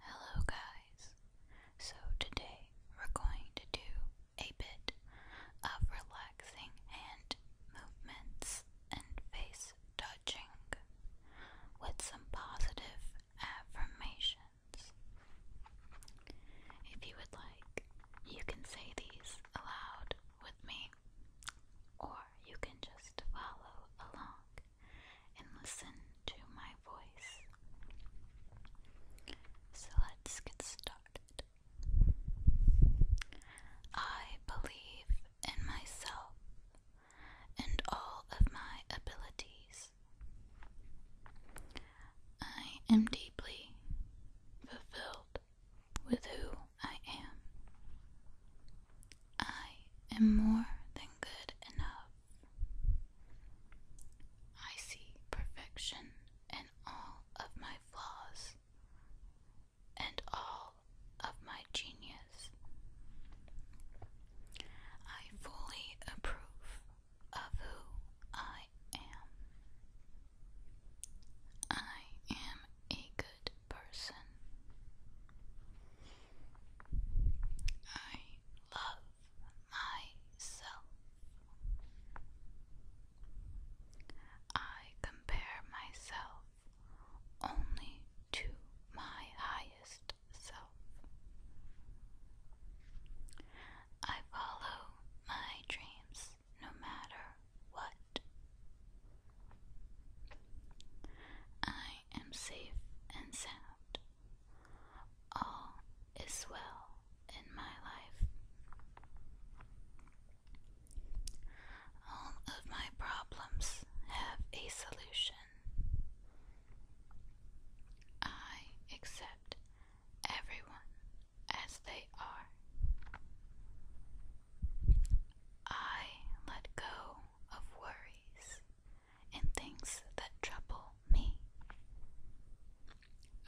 Hello guys, so today we're going to do a bit of relaxing hand movements and face touching with some positive affirmations. If you would like, you can say these aloud with me, or you can just follow along and listen to my voice. So let's get started. I believe in myself and all of my abilities. I am deeply fulfilled with who I am. I am more than good enough. I see perfection in all of my flaws and all of my genius. I fully approve of who I am. I am a good person. I love myself. I compare myself only to my highest self. I follow my dreams no matter what. I I am safe and sound. All is well in my life. All of my problems have a solution. I accept everyone as they are. I let go of worries and things that trouble me.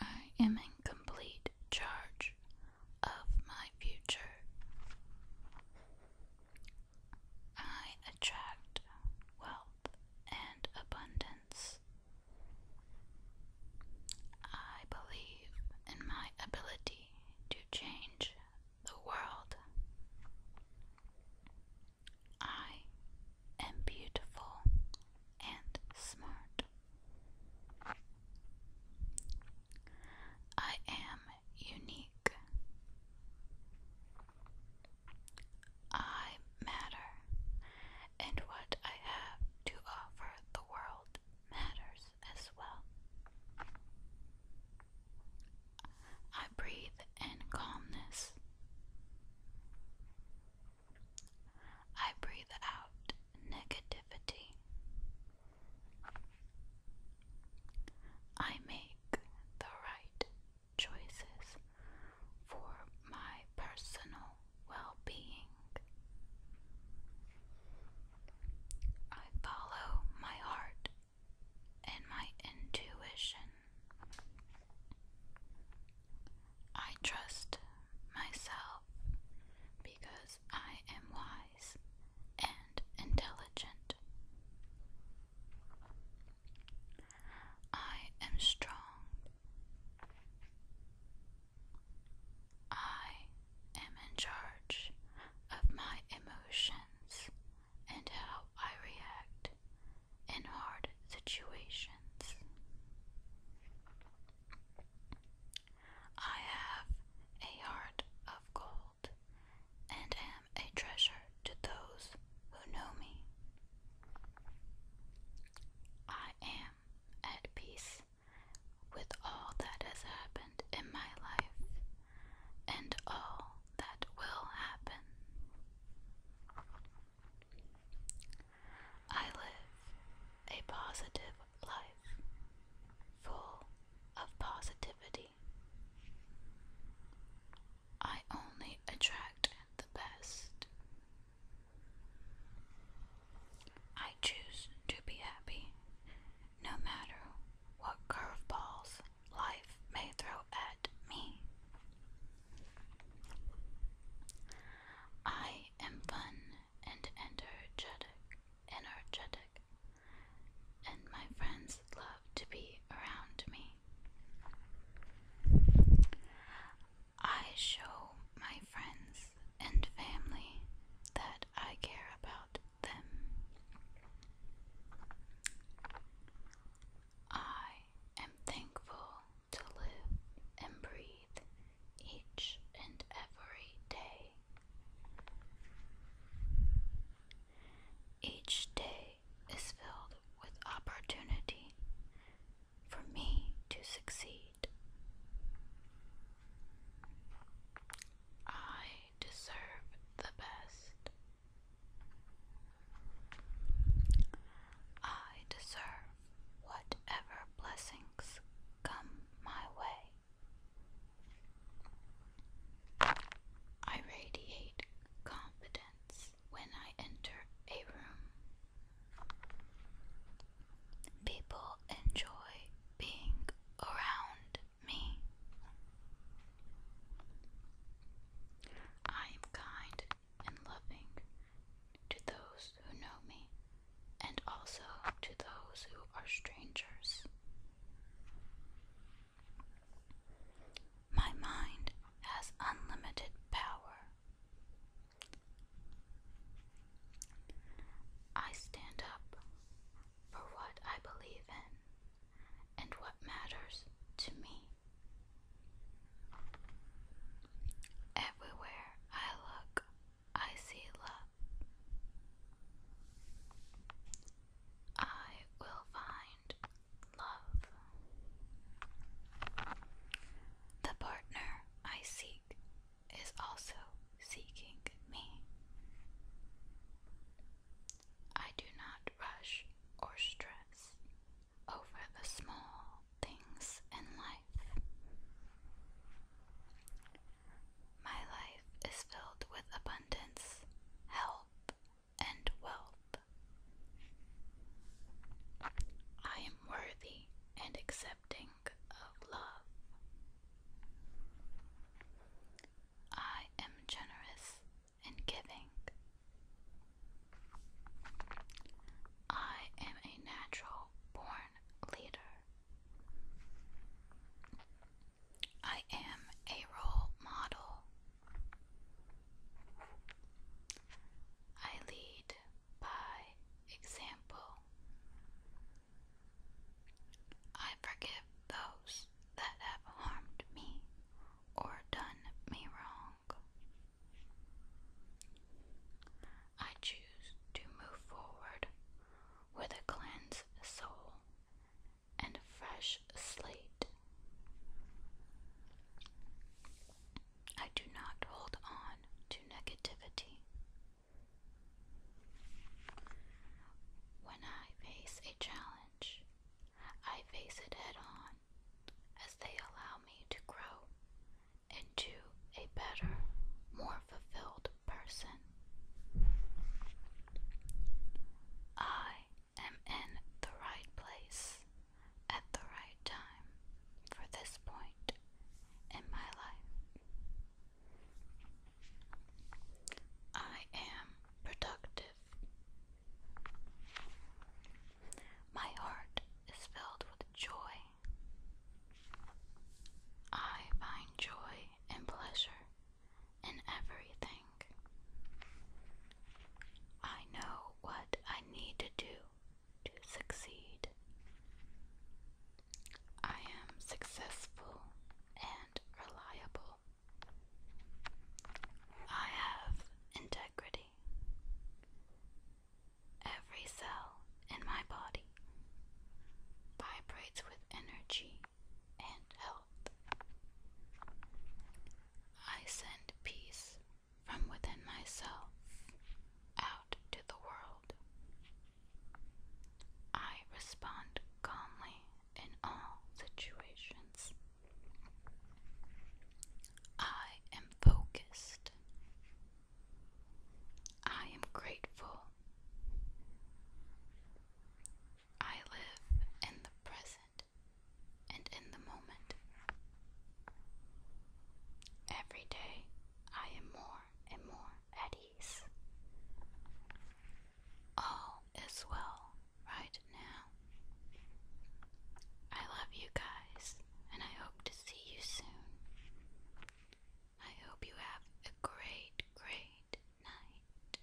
I am in complete charge of my future. I attract wealth and abundance. I believe in my ability to change the world. I am beautiful and smart. I am unique. I matter, and what I have to offer the world matters as well. I breathe in calmness. I breathe out negativity. I make the right choices for my personal well being. I follow my heart and my intuition. I trust myself because I am wise and intelligent. I am strong. I am in charge of my emotions and how I react in hard situations. I have a heart of gold and am a treasure to those who know me. I am at peace with all that has happened in my life and all that will happen. I live a positive life full of positivity. I only attract the best. I choose to be happy no matter what curveballs life may throw at me. I am fun and energetic, energetic, and my friends love to be around me. I show my friends and family that I care about them. I am thankful to live and breathe each and every day. Each day is filled with opportunity for me to succeed. I deserve the best. I deserve whatever blessings come my way. I radiate confidence when I enter a room. People enjoy being around me. I am kind and loving to those who know me and also to those who are strangers. My mind has unlimited power. I stand up for what I believe in and what matters to me. Everywhere I look, I see love. I will find love. The partner I seek is also seeking me. I do not rush or stress over the small things in life. My life is filled with abundance, health, and wealth. I am worthy and accepted of love. I am generous and giving. I am a natural born leader. I am a role model. I lead by example. I forgive those that have harmed me or done me wrong. I choose to move forward with a cleansed soul and fresh slate. I do not hold on to negativity. When I face a challenge, I face it head on as they allow me to grow into a better, more fulfilled person. I am in the right place at the right time for this point in my life. I am productive. My heart is filled with joy. I find joy and pleasure in everything. I know what I need to do to succeed. I am successful and reliable. I have integrity. Every cell in my body vibrates with energy and health. I send peace from within myself out to the world. I respond calmly in all situations. I am focused. I am grateful. I live in the present and in the moment. Every day I am more and more at ease. All is well right now. I love you guys and I hope to see you soon. I hope you have a great, great night.